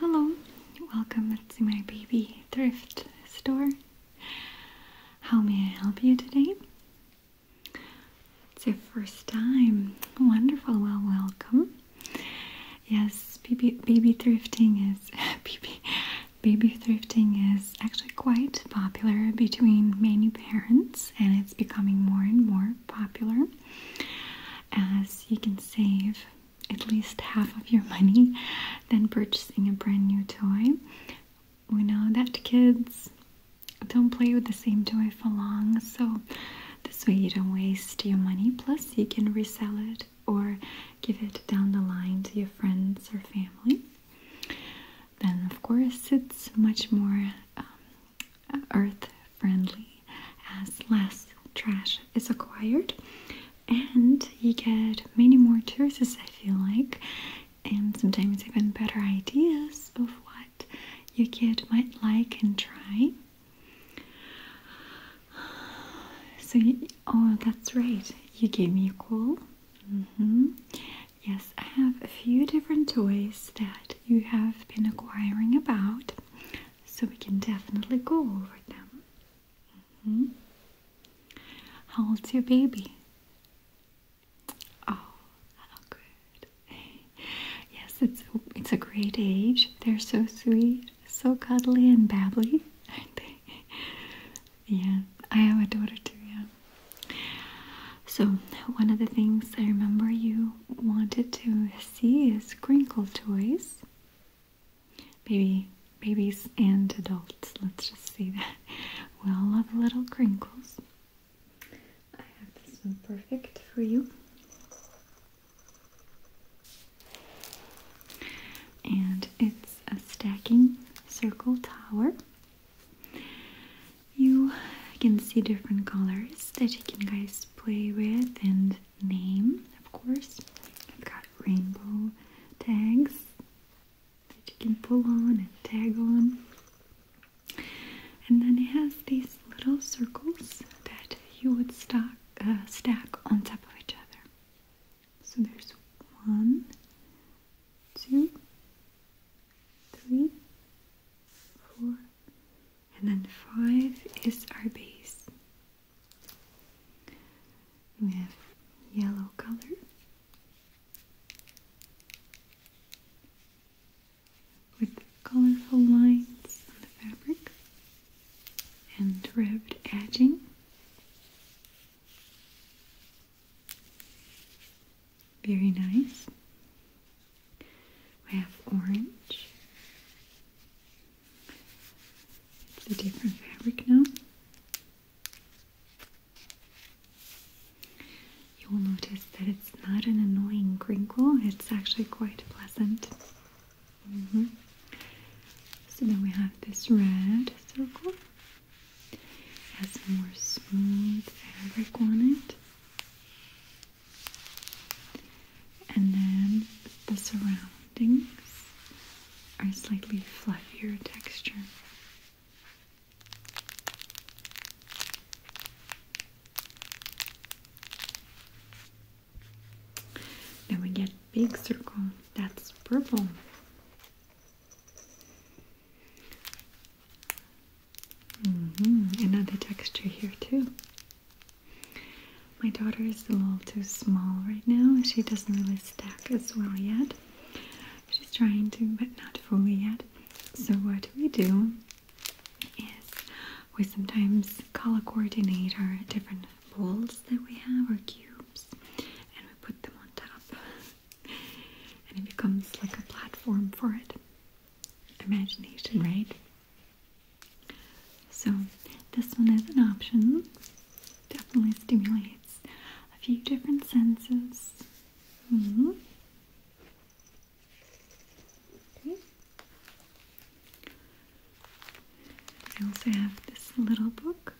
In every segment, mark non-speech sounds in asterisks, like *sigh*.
Hello, welcome to my baby thrift store. How may I help you today? It's your first time. Wonderful, well, welcome. Yes, baby, baby thrifting is *laughs* baby baby thrifting is actually quite popular between many parents, and it's becoming more and more popular as you can save at least half of your money than purchasing a brand new toy. We know that kids don't play with the same toy for long, so this way you don't waste your money. Plus, you can resell it or give it down the line to your friends or family then of course it's much more um, earth friendly as less trash is acquired and you get many more choices I feel like and sometimes even better ideas of what your kid might like and try so oh that's right you gave me a call mm-hmm. Yes, I have a few different toys that you have been acquiring about, so we can definitely go over them. Mm-hmm. How old's your baby? Oh, good. *laughs* Yes, it's it's a great age. They're so sweet, so cuddly and babbly, aren't they? Yeah, I have a daughter too, yeah. So, one of the things I remember you wanted to see is crinkle toys. Baby, babies and adults, let's just see that. We all love little crinkles. I have this one perfect for you. And it's a stacking circle tower you can see different colors that you can guys play with and name, of course. I've got rainbow tags that you can pull on and tag on. And then it has these little circles that you would stack uh, on top of each other. So there's one, two, three, four, and then five is our base. We have yellow color. With colorful lines on the fabric and ribbed edging, very nice. We have orange. It's a different fabric now. You will notice that it's not an annoying crinkle. it's actually quite pleasant. Mm-hmm. So then we have this red circle has some more smooth fabric on it. And then the surroundings are slightly fluffier texture. Then we get big circle that's purple. Mm-hmm. Another texture here too. My daughter is a little too small right now. She doesn't really stack as well yet. She's trying to, but not fully yet. So what we do is we sometimes color coordinate our different balls that we have or cubes, and we put them on top and it becomes like a platform for it. Imagination, right? So, this one is an option. Definitely stimulates a few different senses. Mm-hmm. okay. I also have this little book.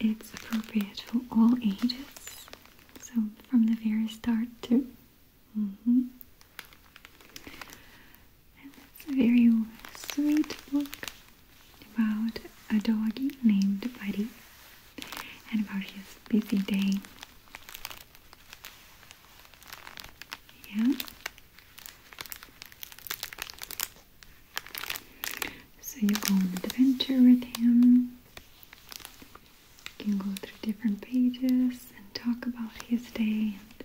It's appropriate for all ages, so from the very start to, mm-hmm. And it's a very sweet book about a doggy named Buddy and about his busy day. Yeah. So you go on an adventure with him. You can go through different pages and talk about his day and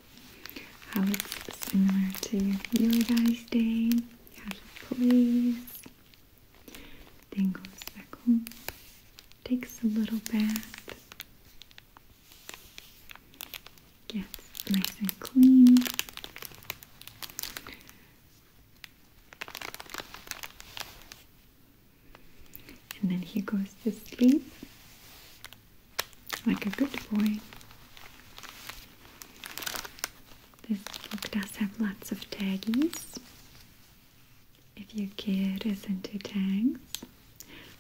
how it's similar to your guy's day, how plays. Then goes back home, takes a little bath, gets nice and clean. And then he goes to sleep like a good boy. This book does have lots of tags. If your kid is into tags,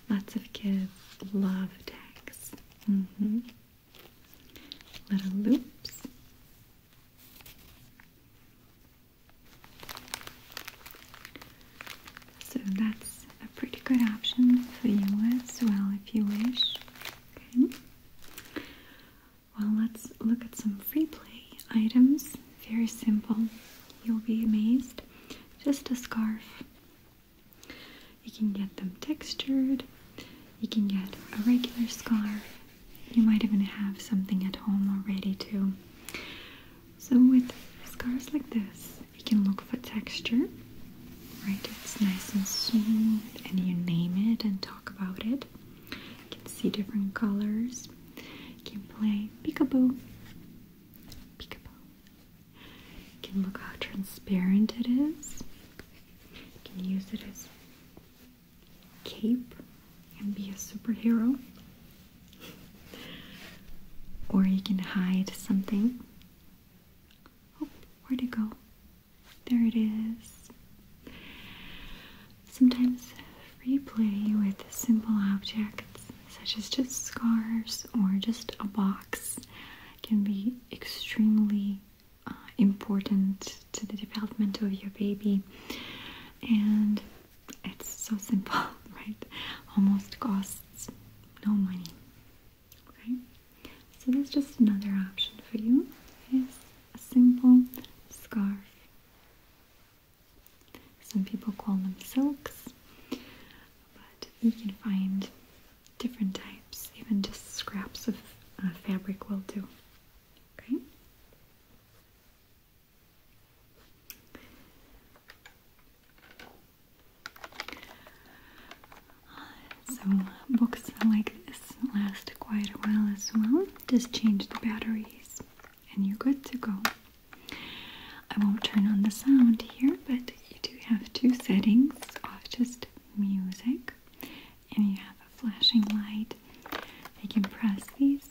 lots of kids love tags. Mm-hmm. Little loops so that's a pretty good option for you as well if you wish. Okay. Well, let's look at some free play items. Very simple. You'll be amazed. Just a scarf. You can get them textured. You can get a regular scarf you might even have something at home already too. So with scars like this, you can look for texture, right? It's nice and smooth and you name it and talk about it. You can see different colors. You can play peekaboo. Peekaboo. You can look how transparent it is. You can use it as cape and be a superhero, *laughs* or you can hide something. Oh, where'd it go? There it is. Sometimes free play with simple objects, such as just scarves or just a box, can be extremely uh, important to the development of your baby and it's so simple *laughs* right almost costs no money okay so that's just another option for you is a simple scarf some people call them silks but you can find different types even just scraps of uh, fabric will do okay so, books like this last quite a while as well. Just change the batteries and you're good to go. I won't turn on the sound here, but you do have two settings off, just music and you have a flashing light, You can press these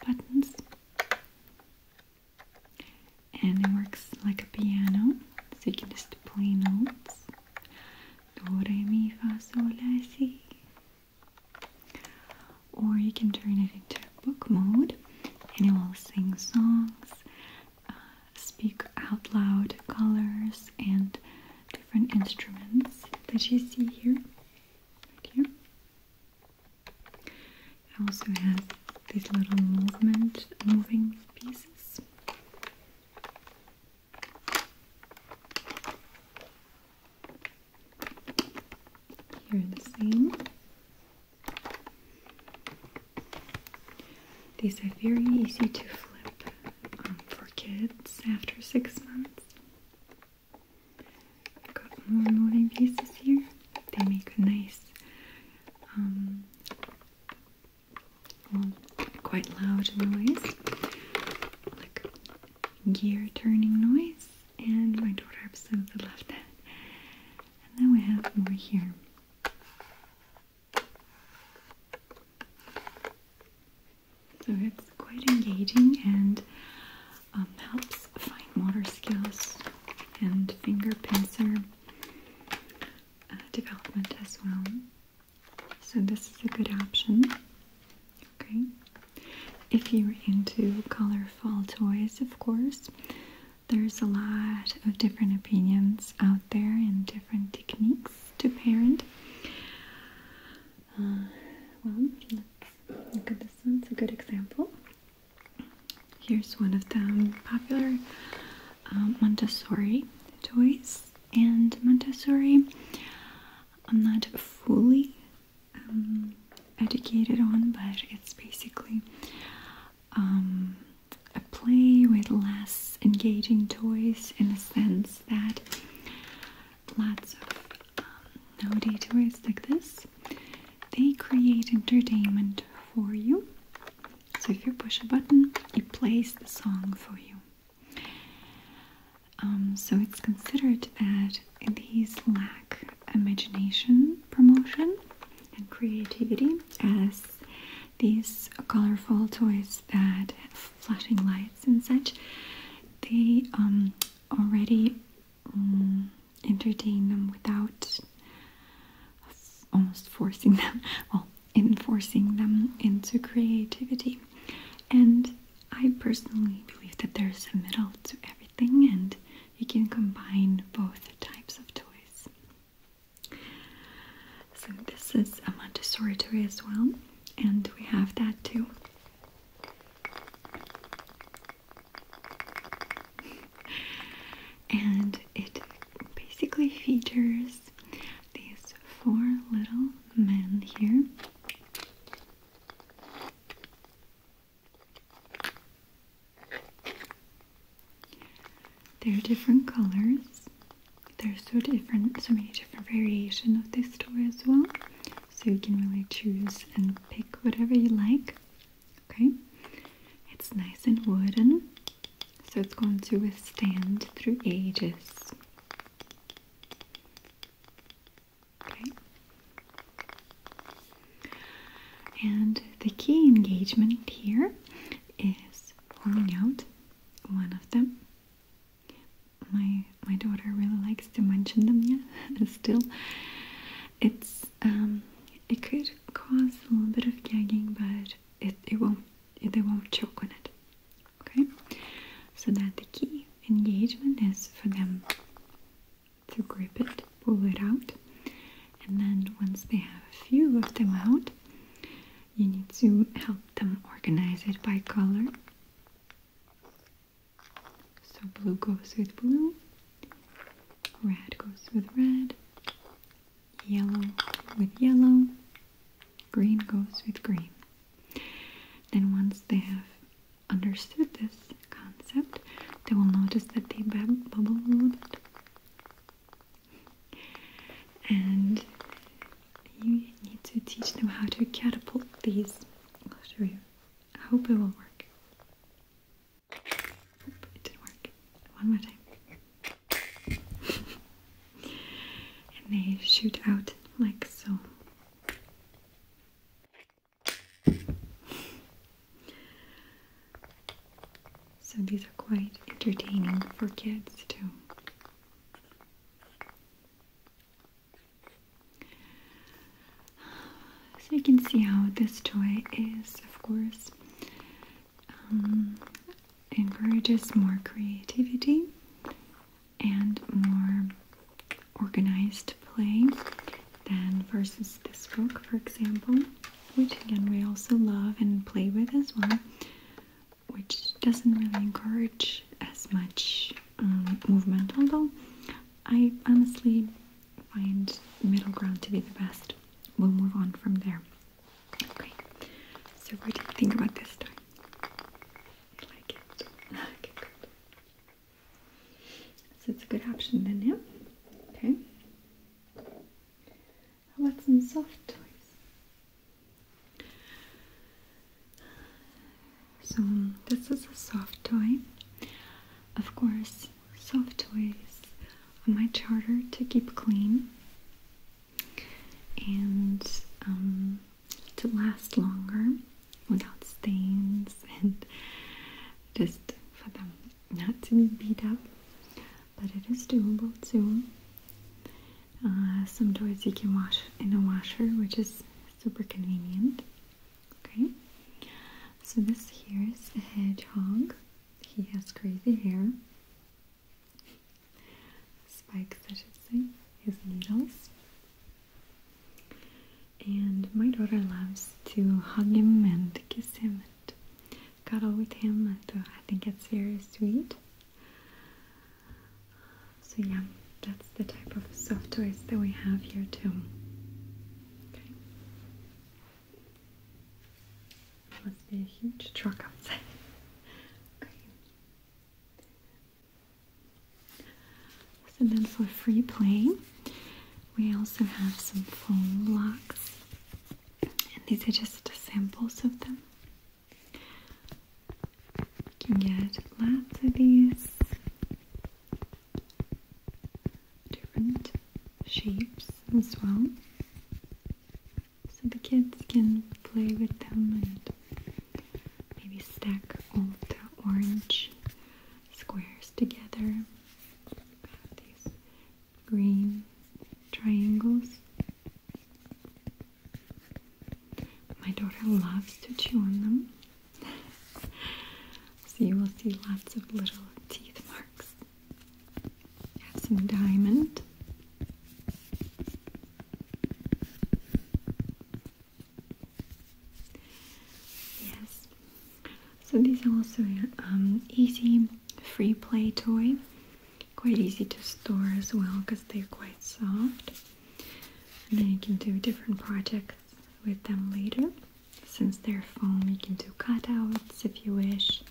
buttons and it works like a piano, so you can just play notes. Do, re, mi, fa, sol, la, si. Or you can turn it into book mode and it will sing songs, uh, speak out loud colors, and different instruments that you see here right here. It also has these little movement, moving pieces. Here the same. These are very easy to flip um, for kids after six months. I've got more moving pieces here. They make a nice, um, quite loud noise, like gear turning noise. And my daughter absolutely loved that. And then we have more here. So it's quite engaging and um, helps fine motor skills and finger pincer uh, development as well. So this is a good option. Okay. If you're into colorful toys, of course, there's a lot of different opinions out there and different techniques to parent. Uh, well, look at this one. It's a good example. Here's one of the popular um, Montessori toys. And Montessori, I'm not fully um, educated on, but it's basically um, a play with less engaging toys in the sense that lots of um, nowadays toys like this. They create entertainment for you. So if you push a button, it plays the song for you. Um, so it's considered that these lack imagination promotion and creativity as these colorful toys that flashing lights and such they um, already mm, entertain them without almost forcing *laughs* them, well, enforcing them into creativity. And I personally believe that there's a middle to everything, and you can combine both types of toys. So, this is a Montessori toy as well, and we have that too and it basically features these four little men here. They're different colors. There's so different, so many different variation of this toy as well so you can really choose and pick whatever you like. Okay, it's nice and wooden, so it's going to withstand through ages. Okay, and the key engagement here is pulling out one of them my my daughter really likes to mention them yeah *laughs* still it's um, it could cause a little bit of gagging but it, it won't they won't choke on it okay so that the key engagement is for them to grip it pull it out and then once they have a few of them out you need to help them organize it by color so blue goes with blue, red goes with red, yellow with yellow, green goes with green. Then once they have understood this concept, they will notice that they bubble a little bit. And you need to teach them how to catapult these. Oh, I hope it will work. it didn't work. One more time. *laughs* and they shoot out like so. So these are quite entertaining for kids too. So you can see how this toy is, of course, um, encourages more creativity and more organized play than versus this book, for example, which again we also love and play with as well, which doesn't really encourage as much um, movement, although I honestly find middle ground to be the best. We'll move on from there. Okay, so what do you think about this time? Like it? So it's a good option then, yeah? Okay. How about some soft toys? So this is a soft toy. Of course, soft toys on my charter to keep clean and um, to last longer without stains *laughs* and just for them not to be beat up. But it is doable too. Uh, some toys you can wash in a washer, which is super convenient. Okay, so this here is a hedgehog. He has crazy hair, spikes, I should say, his needles. And my daughter loves to hug him and kiss him and cuddle with him, and uh, I think it's very sweet. So yeah, that's the type of soft toys that we have here too. Okay. Must be a huge truck outside. *laughs* okay. So then for free play, we also have some foam blocks. And these are just samples of them. You can get lots of these different shapes as well. So the kids can play with them and maybe stack all the orange squares together. These green triangles. My daughter loves to chew on them. *laughs* so you will see lots of little teeth marks. Have some diamond. Yes. So these are also um, easy free play toy. Quite easy to store as well because they're quite soft. And then you can do different projects with them later since they're foam you can do cutouts if you wish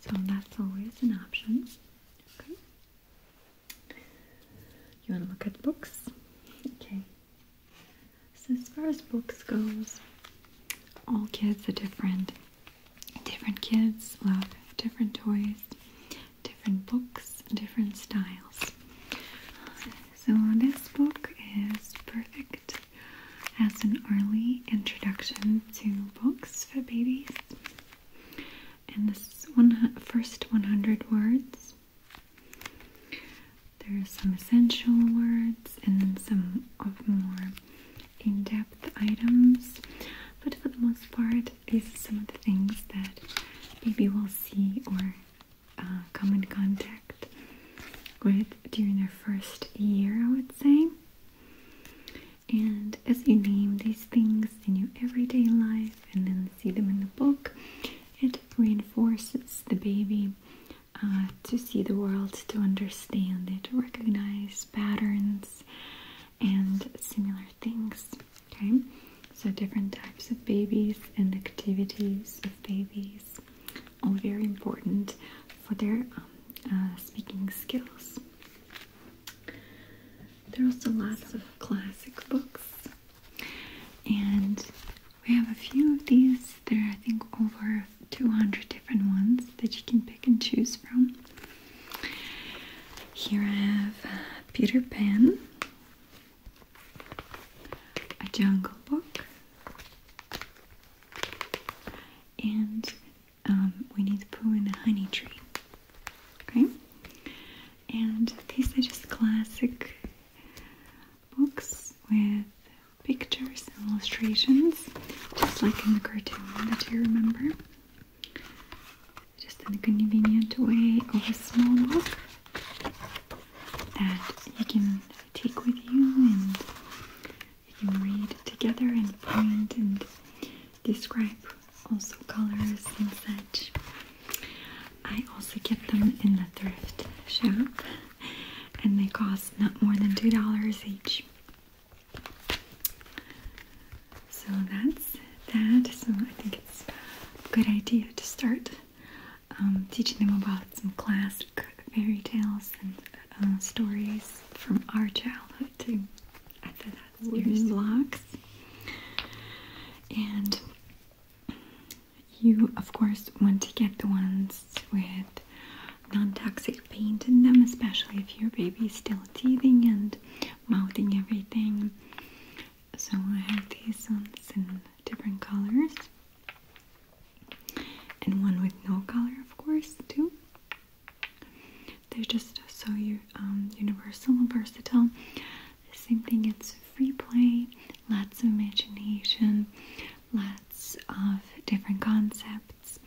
so that's always an option you want to look at books okay so as far as books goes all kids are different different kids love different toys different books different styles so this book is perfect as an early introduction to books for babies. And this one first 100 words. There are some essential words and then some of more in-depth items. But for the most part, these are some of the things that baby will see or uh, come in contact with during their first year, I would say. And as you name these things in your everyday life and then see them in the book, it reinforces the baby uh, to see the world, to understand it, to recognize patterns and similar things. Okay, so different types of babies and activities of babies, all very important for their um, uh, speaking skills. There are also lots of classic books, and we have a few of these. There are, I think, over 200 different ones that you can pick and choose from. Here I have uh, Peter Pan a jungle book, and um, we need to poo in the honey tree. Okay, and these are just classic books with pictures and illustrations, just like in the cartoon that you remember. Just in a convenient way of a small book that you can take with you and you can read together and point and describe also colors and such. I also get them in the thrift shop and they cost not more than $2 each. So that's that. So I think it's a good idea to start um, teaching them about some classic fairy tales and uh, stories from our childhood too. I wooden blocks. And you, of course, want to get the ones with non-toxic paint in them, especially if your baby is still teething and mouthing everything. So I have these ones in different colors and one with no color, of course, too. They're just so um, universal and versatile. Same thing. It's free play, lots of imagination, lots of different concepts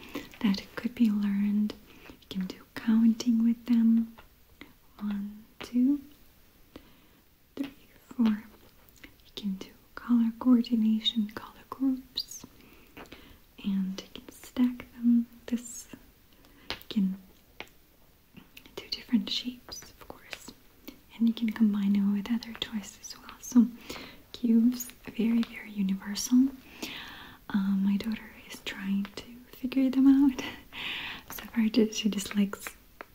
that could be learned. You can do counting with them. One, two three, four. You can do color coordination, color groups, and you can stack them. This you can do different shapes, of course, and you can combine them with other toys as well. So cubes, very very universal. Um, my daughter is trying to figure them out. *laughs* so far, she just likes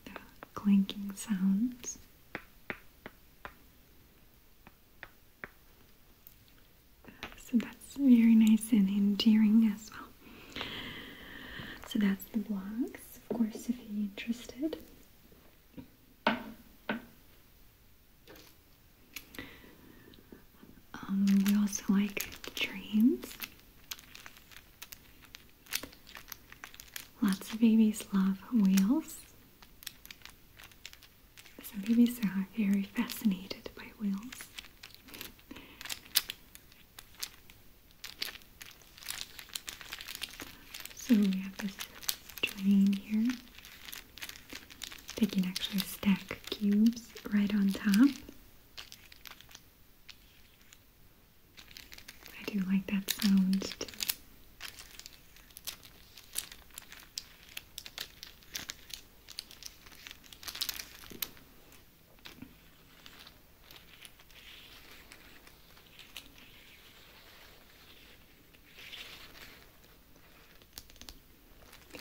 the clanking sounds. So that's very nice and endearing as well. So that's the blocks, of course, if you're interested. Um, we also like trains. Lots of babies love wheels. Some babies are very fascinated by wheels. So we have this drain here. They can actually stack cubes right on top. I do like that sound too.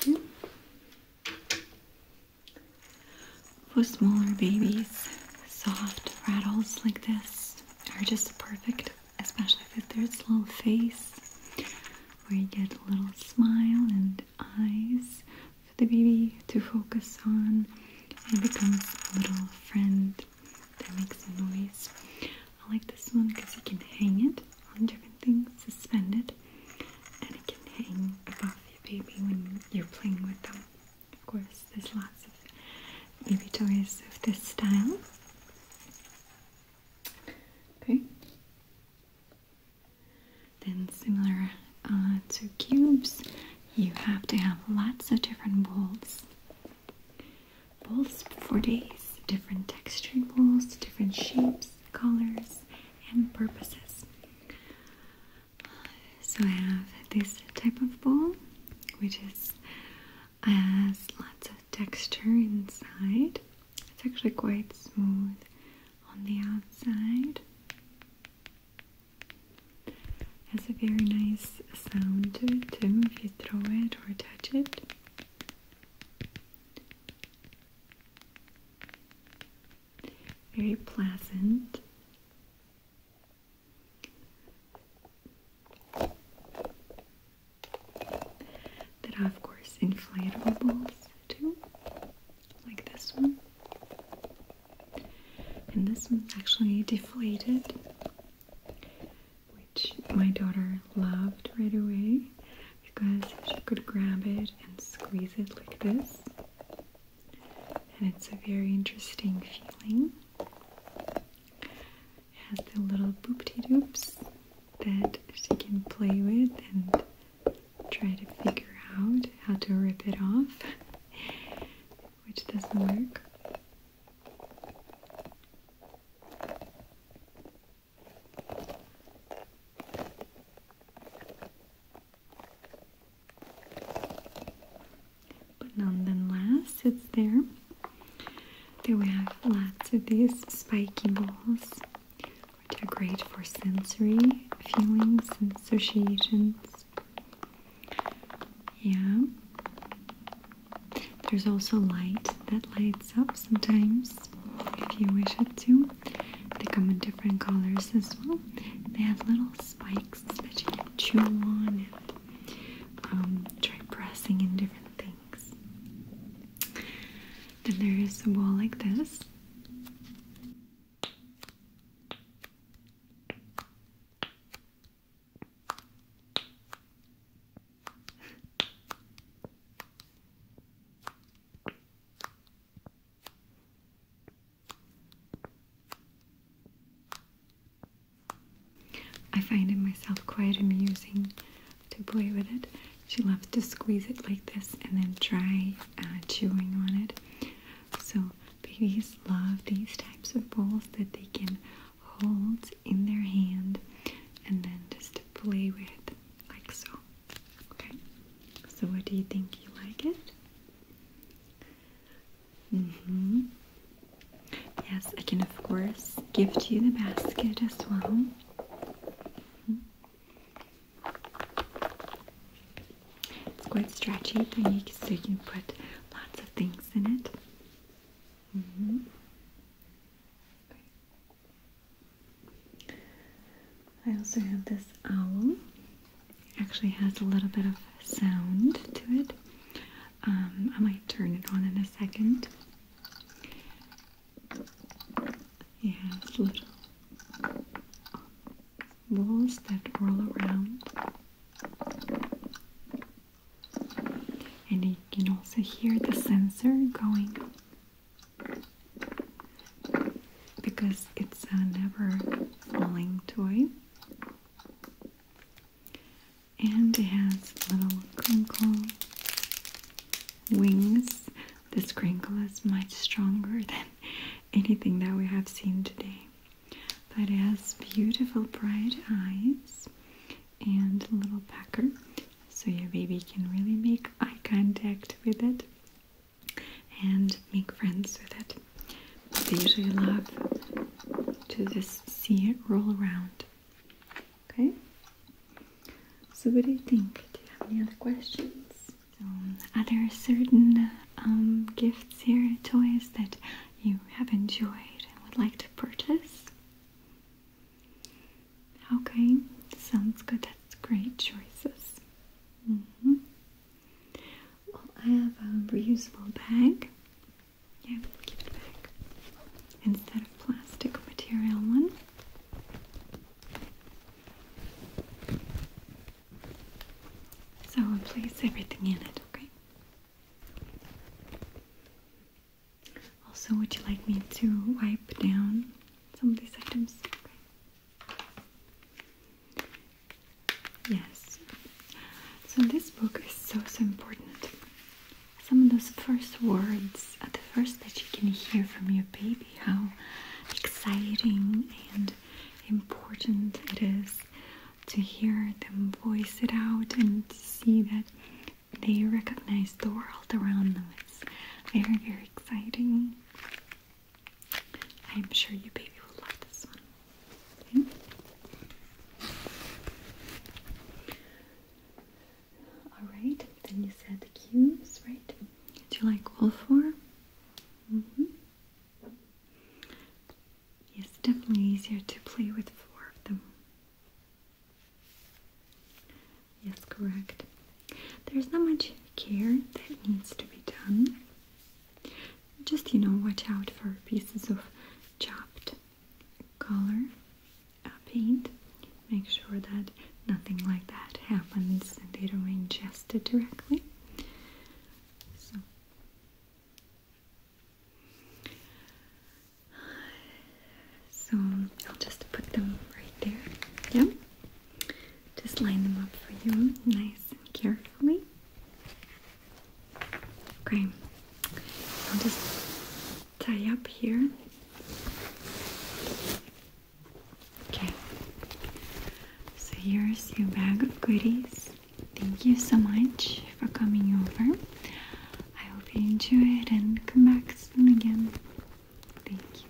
Mm -hmm. For smaller babies, soft rattles like this are just perfect, especially with this little face where you get a little smile and eyes for the baby to focus on and becomes a little friend that makes a noise. I like this one because you can hang it on different things, suspended, and it can hang above your baby when you're playing with them. Of course, there's lots of baby toys of this style. Okay. Then similar uh, to cubes, you have to have lots of different bowls. Bowls for days, different textured bowls, different shapes, colors, and purposes. So I have this type of bowl, which is has lots of texture inside. It's actually quite smooth on the outside. Has a very nice sound to it too if you throw it or touch it. Very pleasant. There of course inflatables too, like this one. And this one's actually deflated, which my daughter loved right away because she could grab it and squeeze it like this. And it's a very interesting feeling has the little boopty doops that she can play with and try to figure out how to rip it off, *laughs* which doesn't work but nonetheless it's there. Then we have lots of these spiky balls, which are great for sensory feelings and associations. Yeah. There's also light that lights up sometimes if you wish it to. They come in different colors as well. They have little spikes that you can chew on um, try pressing in different things. Then there is a wall like this. I find it myself quite amusing to play with it. She loves to squeeze it like this and then try uh, chewing on it. So babies love these types of balls that they can hold in their hand and then just play with like so. Okay, so what do you think? You like it? Mm-hmm. Yes, I can of course gift you the basket as well. Mm-hmm. It's quite stretchy, but you can, so you can put lots of things in it. Mm-hmm. I also have this owl. Actually, has a little bit of sound to it. Um, I might turn it on in a second. Yeah, little balls that roll around. And you can also hear the sensor going because it's a uh, never falling toy and it has little crinkle wings. This crinkle is much stronger than anything that we have seen today. But it has beautiful bright eyes and a little pecker, so your baby can really make eye contact with it and make friends with it. They usually love to just see it roll around. Okay? So, what do you think? Do you have any other questions? Um, are there certain um, gifts here, toys that you have enjoyed and would like to purchase? Okay, sounds good. That's great choices. Mm-hmm. Well, I have a reusable bag yeah, we'll give it back. Instead of plastic material one. So we'll place everything in it, okay? Also, would you like me to wipe down some of these items? Okay. Yes. So this book is so so important some of those first words at the first that you can hear from your baby how exciting and important it is to hear them voice it out and see that they recognize the world around them. It's very, very exciting. I'm sure your baby will love this one. Alright, then you said the cues, right? Do you like all four? Mm -hmm. Yes, definitely easier to play with four of them. Yes, correct. There's not much care that needs to be done. Just, you know, watch out for pieces of chopped color uh, paint. Make sure that nothing like that happens and they don't ingest it directly. So. I'll just put them right there. Yep. Just line them up for you nice and carefully. Okay tie up here. Okay, so here's your bag of goodies. Thank you so much for coming over. I hope you enjoy it and come back soon again. Thank you.